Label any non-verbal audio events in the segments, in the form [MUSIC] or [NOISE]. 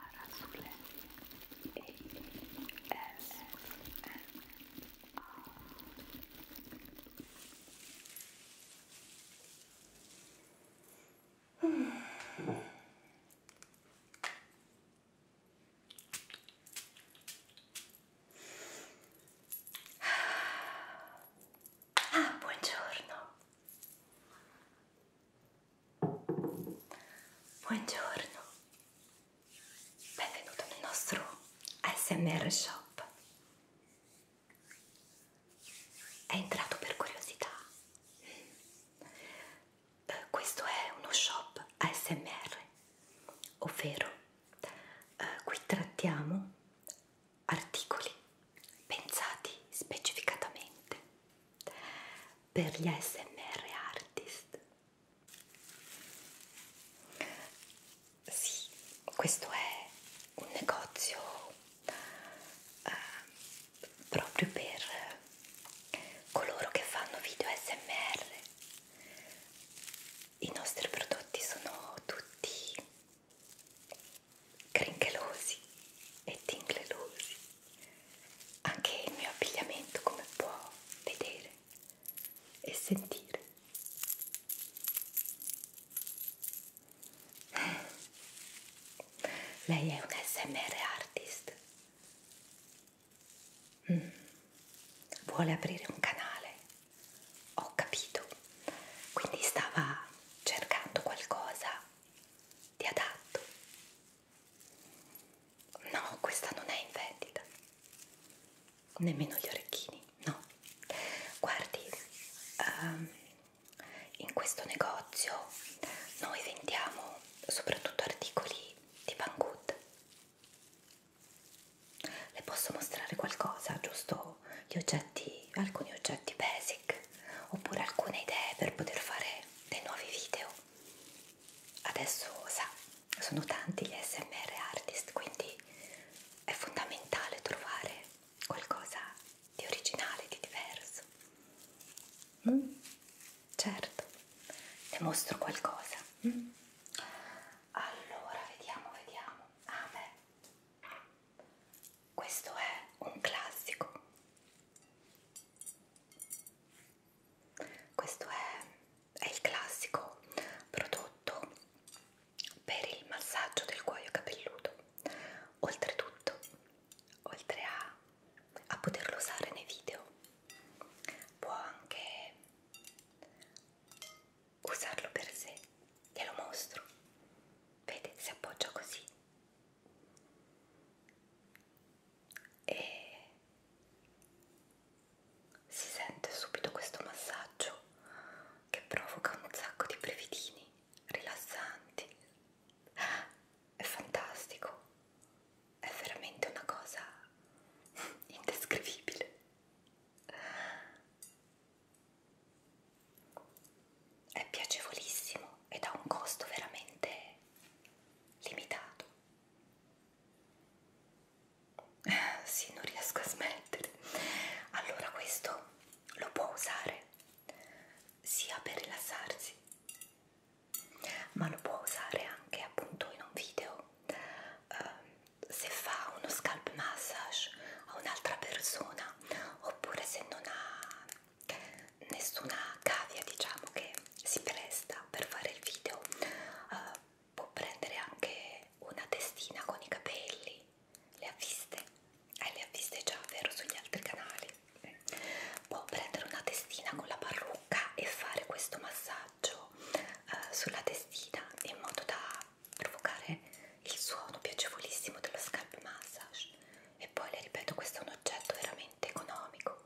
Arasuleri Ah, buongiorno. Buongiorno, benvenuto nel nostro ASMR Shop. È entrato per curiosità. Eh, questo è uno shop ASMR, ovvero eh, qui trattiamo articoli pensati specificatamente per gli ASMR artist. Sì, questo è un negozio eh, proprio per coloro che fanno video ASMR. I nostri prodotti sono tutti crinchelosi e tinglelosi anche il mio abbigliamento come può vedere e sentire lei è un smr artist mm. vuole aprire un canale ho capito quindi stava cercando qualcosa di adatto No, questa non è in vendita. Nemmeno gli orecchini, no. Guardi, um, in questo negozio noi vendiamo soprattutto articoli di Van Good. Le posso mostrare qualcosa, giusto? Gli oggetti, alcuni oggetti basic like oppure alcune idee per poter fare dei nuovi video. Adesso sa, sono tanti gli SMR artist, quindi è fondamentale trovare qualcosa di originale, di diverso. Mm, certo, ne mostro qualcosa. Mm. Allora, vediamo, vediamo. Ah, beh, questo è un classico. Questo è, è il classico prodotto per il massaggio del cuoio capelluto. Oltretutto, oltre a, a poterlo usare nei video, può anche usarlo per sé. Glielo mostro. Vede, si appoggia così e si sente subito questo massaggio che provoca un sacco di brevidini rilassanti è fantastico è veramente una cosa [LAUGHS] indescrivibile è piacevolissimo ed ha un costo veramente limitato. Ah, [LAUGHS] sì, non riesco a smettere. Allora questo lo può usare sia per rilassarsi, ma lo può usare anche appunto in un video. Uh, se fa uno scalp massage a un'altra persona oppure se non ha nessuna cavia diciamo che si presta per fare il video uh, può prendere anche una testina con i capelli le ha viste? Eh, le ha viste già vero sugli altri canali può prendere una testina con la parrucca e fare questo massaggio uh, sulla testina in modo da provocare il suono piacevolissimo dello scalp massage e poi le ripeto questo è un oggetto veramente estremamente economico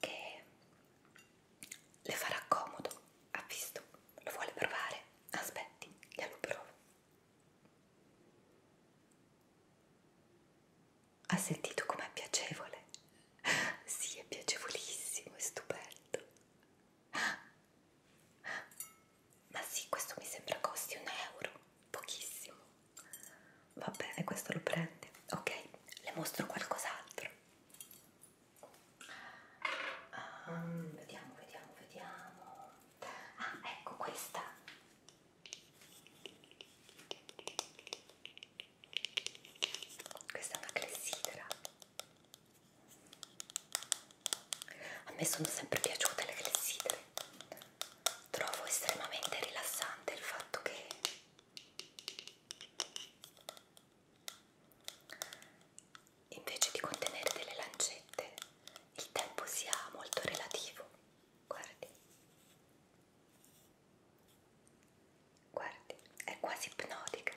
che le farà comodo, ha visto, lo vuole provare, aspetti, glielo provo. Ha sentito com'è piacevole? Sì, è piacevolissimo, è stupendo. Ma sì, questo mi sembra costi un euro, pochissimo. Va bene, questo lo prende. Ok, le mostro qualcos'altro. Um, vediamo, vediamo, vediamo. Ah, ecco questa. Questa è una clessidra. A me sono sempre piaciute le clessidre trovo estremamente rilassante il fatto che invece di contenere delle lancette il tempo sia molto relativo guardi guardi è quasi ipnotica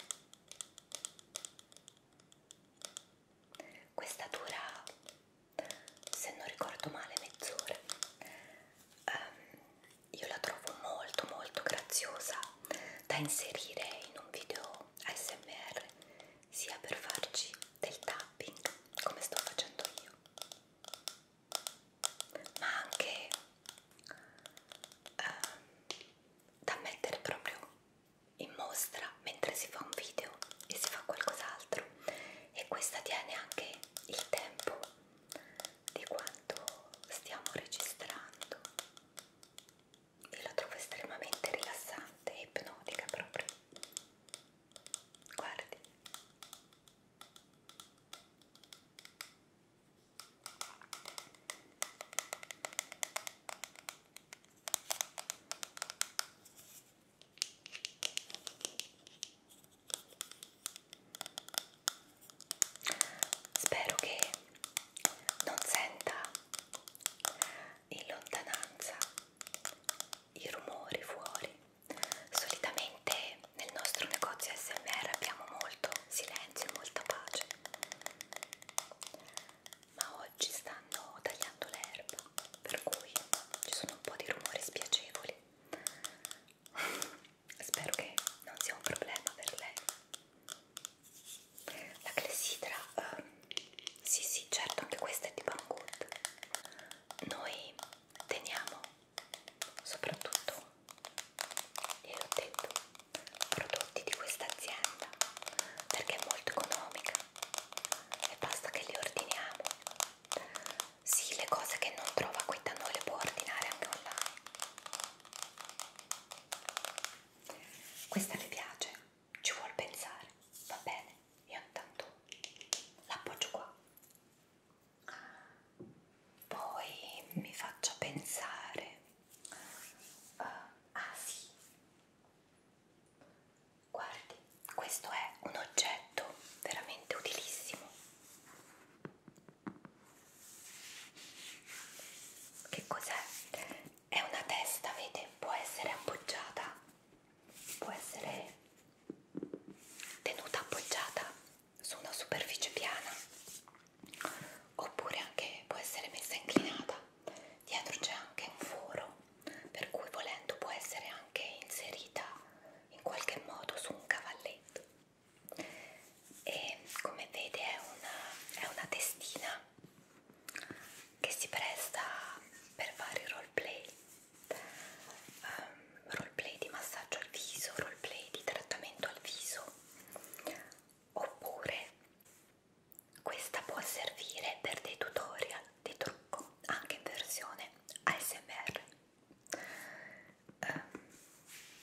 questa dura se non ricordo male mezz'ora um, io la trovo molto molto graziosa da inserire in un video ASMR sia per farci del tapping come sto facendo io ma anche um, da mettere proprio in mostra mentre si fa un video e si fa qualcos'altro e questa tiene anche il tempo di quanto stiamo registrando e la trovo estremamente rilassante e ipnotica proprio guardi Spero che non senta in lontananza i rumori fuori. Solitamente nel nostro negozio SMR abbiamo molto silenzio e molta pace, ma oggi stanno tagliando l'erba, per cui ci sono un po' di rumori spiacevoli spero che non sia un problema per lei la clessidra uh, sì sì certo anche questa è di Banggood noi teniamo soprattutto e l'ho detto prodotti di questa azienda perché è molto economica e basta che li ordiniamo sì, le cose che non trova qui da noi le può ordinare anche online. Questa le piace, ci vuol pensare, va bene? Io intanto l'appoggio qua. Poi mi faccio pensare. Uh, ah sì, guardi, questo è un oggetto veramente utilissimo. Che cos'è? È una testa, vede? Può essere appoggiata, può essere tenuta appoggiata su una superficie piana oppure anche può essere messa inclinata. Dietro c'è anche un foro per cui volendo può essere anche inserita in qualche modo su un cavalletto e come vede è una, è una testina che si presta per vari roleplay um, roleplay di massaggio al viso, roleplay di trattamento al viso oppure questa può servire per dei tutorial di trucco anche in versione ASMR eh,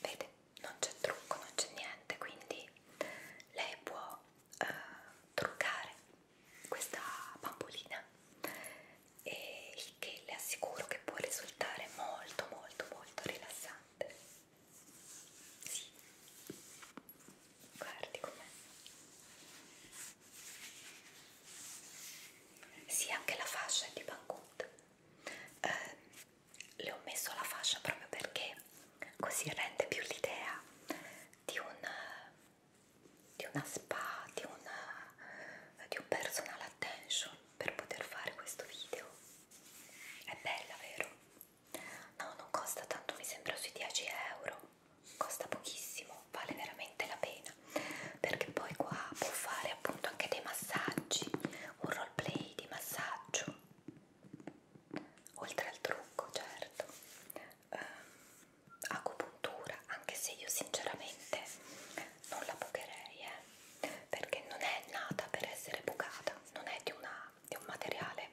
vede non c'è trucco non c'è niente quindi lei può eh, truccare questa bambolina e il che le assicuro che può risultare molto molto molto rilassante sì. guardi com'è sì, anche la fascia è di Banggood eh, le ho messo la fascia proprio perché così rende più l'idea di, un, di una spa, di, una, di un personal attention per poter fare questo video. È bella, vero? No, non costa tanto, mi sembra sui 10 euro, costa pochissimo, vale veramente la pena vita perché poi qua può fare appunto anche dei massaggi un roleplay di massaggio oltre al trucco certo eh, acupuntura anche se io sinceramente non la bucherei eh, perché non è nata per essere bucata non è di, una, di un materiale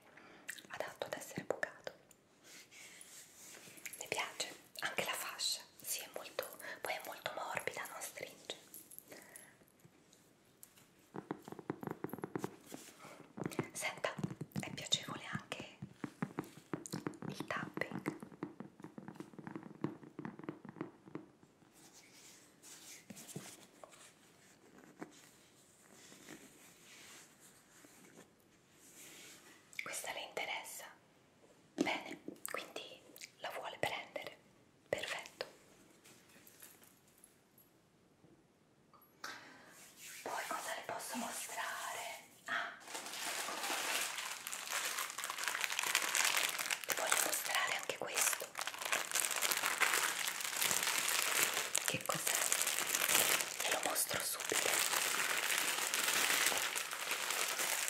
adatto ad essere bucato mi piace anche la fascia sì, è molto, poi è molto morbida, non stringe. Senta, è piacevole anche il tapping. Questa le interessa? Bene, quindi la vuole prendere. Perfetto. Poi cosa le posso mostrare? Ah, vi voglio mostrare anche questo. Che cos'è? Ve lo mostro subito.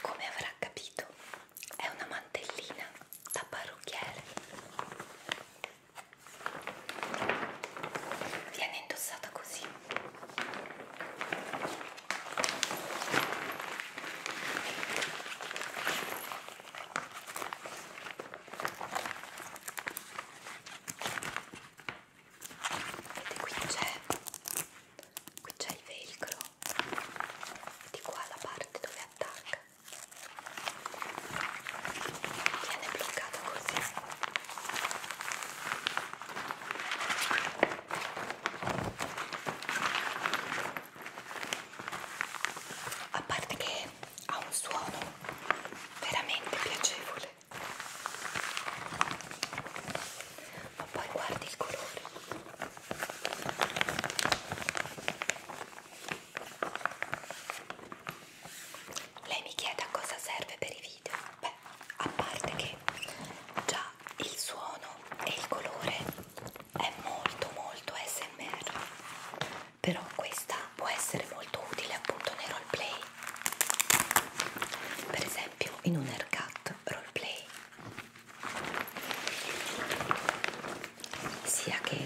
Come avrà capito, è una mantellina da parrucchiere. Viene indossata così. Vedete qui c'è qui c'è il velcro di qua la parte dove attacca viene bloccato così a parte che ha un suono veramente piacevole ma poi guardi il colore lei mi chiede a cosa serve per i video beh a parte che già il suono e il colore è molto molto smr però questa può essere molto utile appunto nei roleplay per esempio in un haircut roleplay sia che,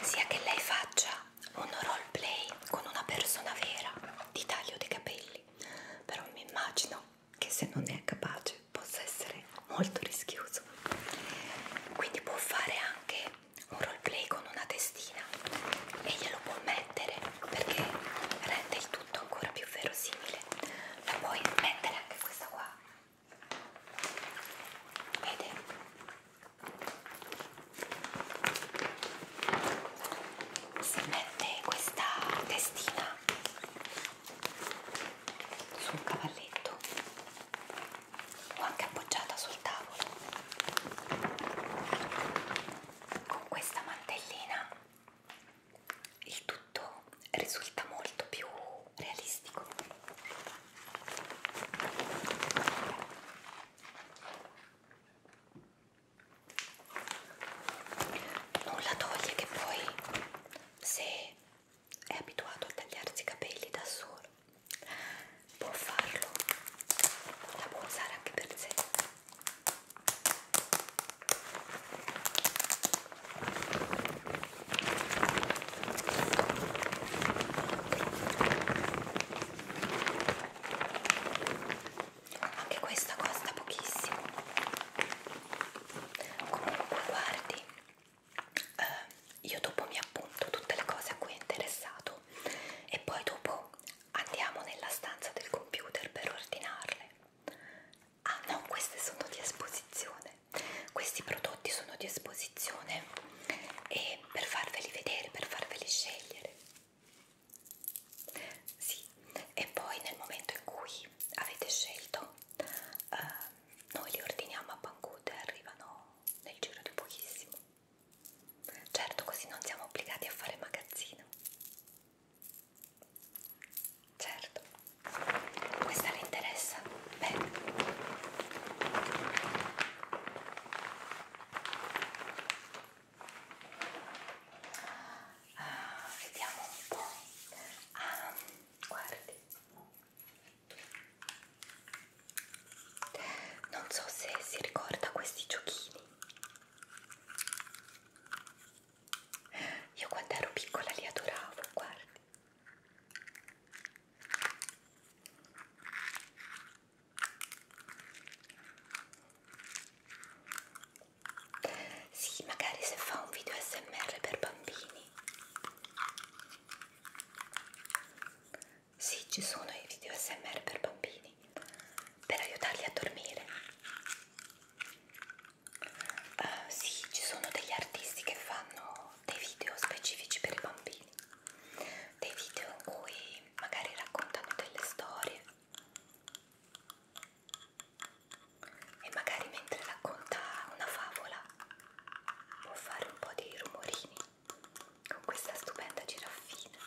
sia che lei faccia un roleplay con una persona vera di taglio dei capelli però mi immagino che se non è capace possa essere molto rischioso quindi può fare anche un roleplay con una testina e glielo può mettere perché rende il tutto ancora più verosimile ma puoi mettere anche questa qua vede si mette questa testina su un cavalletto o anche appoggiata sul tavolo con questa mantellina il tutto risulta molto più realistico nulla toglie che poi se è abituato a tagliarsi i capelli da solo può farlo la può usare anche per sé anche questa costa pochissimo comunque guardi eh, io dopo mi appunto tutte le cose a cui è interessato e poi dopo andiamo nella stanza del computer per ordinarle. Ah no, queste sono di esposizione, questi prodotti sono di esposizione e per farveli vedere, per farveli scegliere. Sì, e poi nel momento in cui avete scelto eh, noi li ordiniamo a Pancute e arrivano nel giro di pochissimo. Certo, così non siamo obbligati a fare magazzino. Certo, questa le interessa? Bene. Ah, vediamo un po'. Ah, guardi, non so se si ricorda questi giochini. Io quando ero piccola li adoravo, guardi. Sì, magari se fa un video smr per bambini sì, ci sono i video SMR per bambini per aiutarli a dormire. Uh, sì, ci sono degli artisti che fanno dei video specifici per i bambini, dei video in cui magari raccontano delle storie e magari mentre racconta una favola può fare un po' dei rumorini con questa stupenda giraffina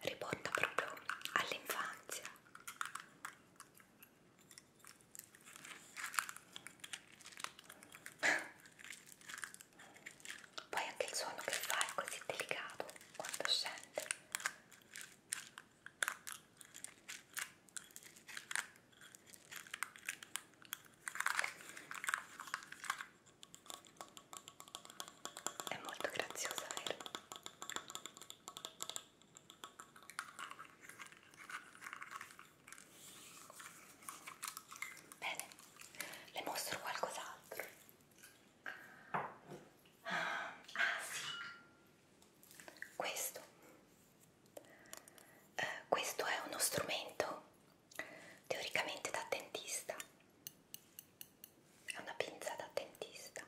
riporta proprio all'infanzia [LAUGHS] poi anche il suono che fa è così delicato quando scende è molto graziosa, vero? Bene, le mostro qualcos'altro. Ah, ah sì, questo eh, questo è uno strumento teoricamente da dentista, è una pinza da dentista,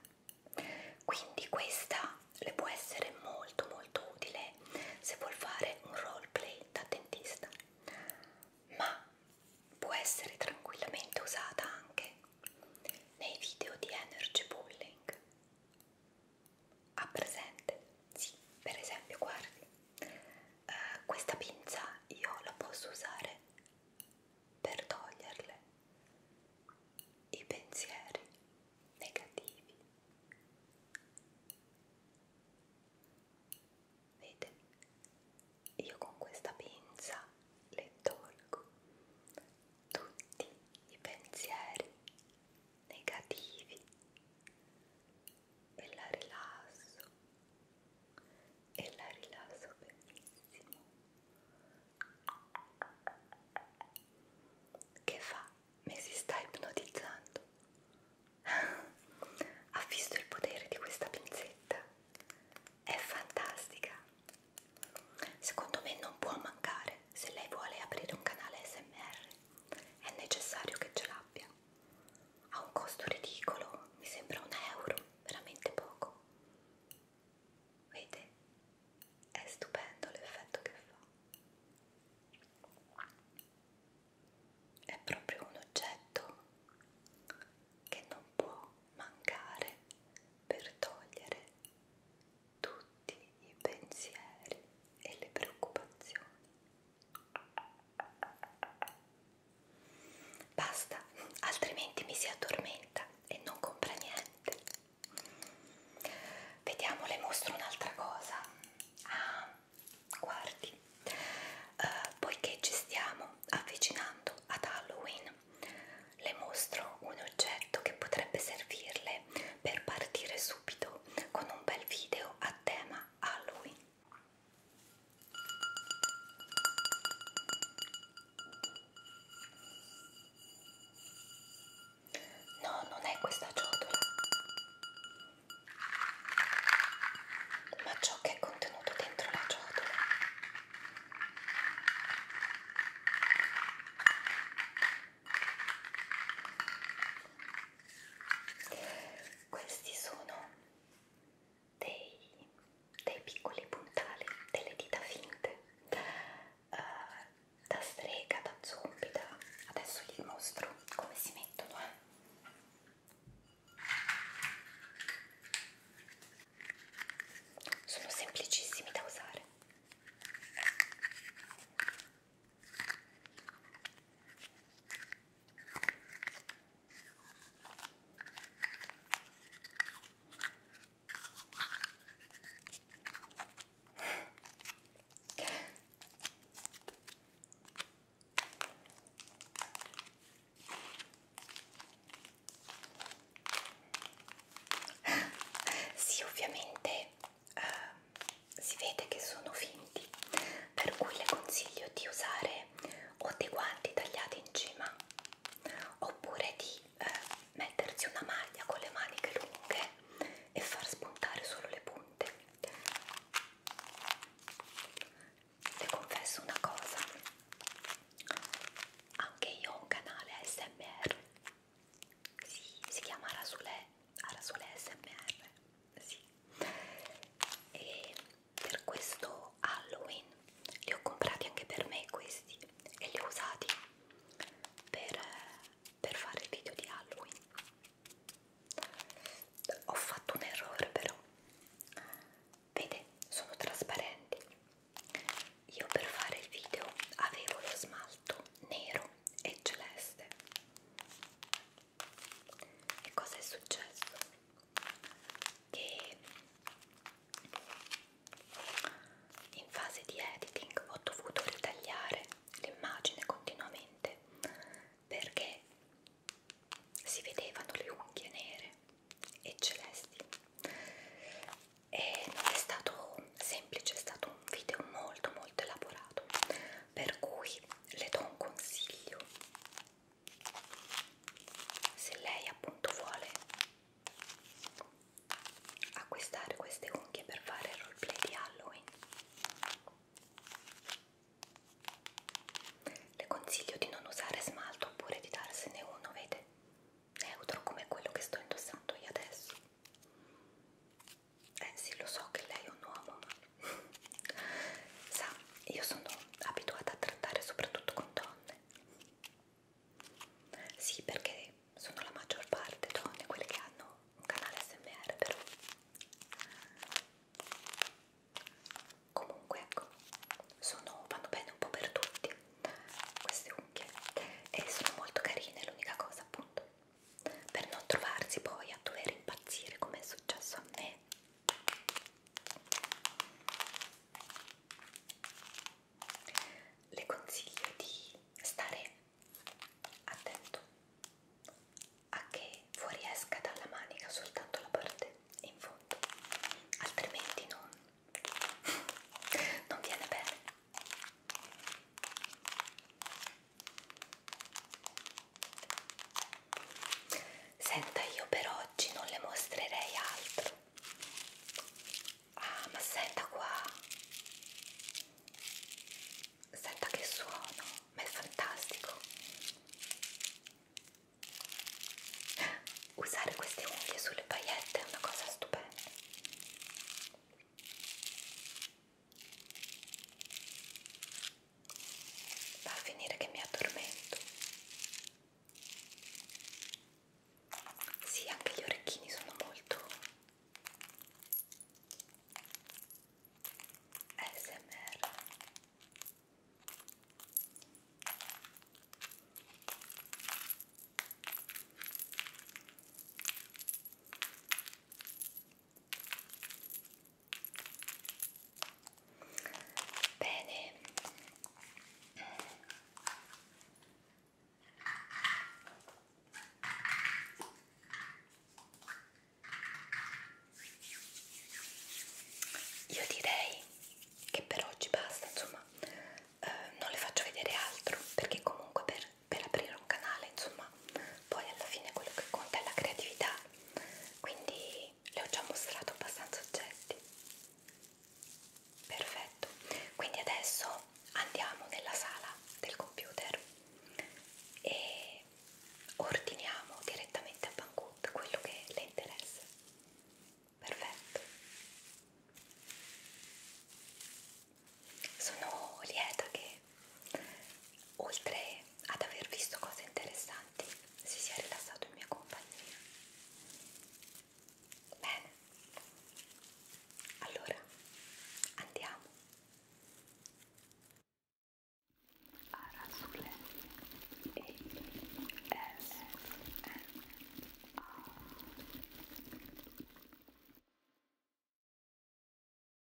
quindi questa le può essere molto molto utile se vuol fare un roleplay da dentista, ma può essere tranquillamente usata anche nei video di energy bullying ha presente? Sì, per esempio, guardi, eh, questa pinza io la posso usare per toglierle i pensieri negativi. Vede? Io con questa pinza le tolgo tutti i pensieri negativi e la rilasso e la rilasso benissimo che fa? mi si sta ipnotizzando ha visto il potere di questa pinzetta? è fantastica secondo me non può mancare se lei vuole aprire un canale smr è necessario che ce l'abbia. Ha un costo ridicolo, mi sembra un euro, veramente poco. Vede? È stupendo l'effetto che fa. È proprio un oggetto che non può mancare per togliere tutti i pensieri e le preoccupazioni. Basta, altrimenti mi si addormenta e non compra niente. Vediamo, le mostro un'altra cosa. Ah, guardi, uh, poiché ci stiamo avvicinando ad Halloween, le mostro un oggetto che potrebbe servirle per partire su subito con un bel video a tema Halloween. No, non è questa ciotola, ma ciò che è contenuto dentro la ciotola. Questi sono dei, dei piccoli puntali delle dita finte uh, da strega, da zombie. Da... Adesso vi mostro come si mettono. Eh. Sono semplicissimi da usare. Sì, ovviamente eh, si vede che sono finti per cui le consiglio di usare o dei guanti tagliati in cima oppure di eh, mettersi una maglia con le maniche lunghe e far spuntare solo le punte le confesso una cosa anche io ho un canale ASMR si, si chiama Rasule, Rasule ASMR sì e per questo Halloween li ho comprati anche per me questi e li ho usati per, per fare il video di Halloween ho fatto un errore però vede sono trasparenti io per fare il video avevo lo smalto nero e celeste e cosa è successo? Che in fase di editing ho dovuto ritagliare l'immagine continuamente perché si vedevano le unghie nere e celesti e non è stato semplice, è stato un video molto molto elaborato per cui le do un consiglio se lei appunto vuole acquistare queste unghie per fare il roleplay di Halloween le consiglio di non usare smalto oppure di darsene uno, vede? Neutro come quello che sto indossando io adesso eh sì lo so che lei è un uomo ma [LAUGHS] sa io sono abituata a trattare soprattutto con donne sì perché sono la maggior parte donne quelle che hanno un canale smr però comunque ecco sono, vanno bene un po' per tutti queste unghie e sono molto carine l'unica cosa appunto per non trovarsi poi a dover impazzire come è successo a me. Le consiglio di stare attento a che fuoriesca dalla manica soltanto la parte in fondo, altrimenti non, [LAUGHS] non viene bene. Senta, io per oggi non le mostrerei altro. Ah, ma senta qua. Senta che suono, ma è fantastico. Usare queste unghie sulle paillette è una cosa stupenda. Va a finire che mi addormento. Sì, anche gli orecchini sono molto ASMR. Bene. Io direi che per oggi basta, insomma, eh, non le faccio vedere altro perché comunque per per aprire un canale, insomma, poi alla fine quello che conta è la creatività, quindi le ho già mostrato abbastanza oggetti. Perfetto, quindi adesso andiamo nella sala del computer e ordiniamo direttamente a Banggood quello che le interessa. Perfetto. Sono lieta che oltre ad aver visto cose interessanti, si sia rilassato in mia compagnia. Bene, allora andiamo. Arasule e S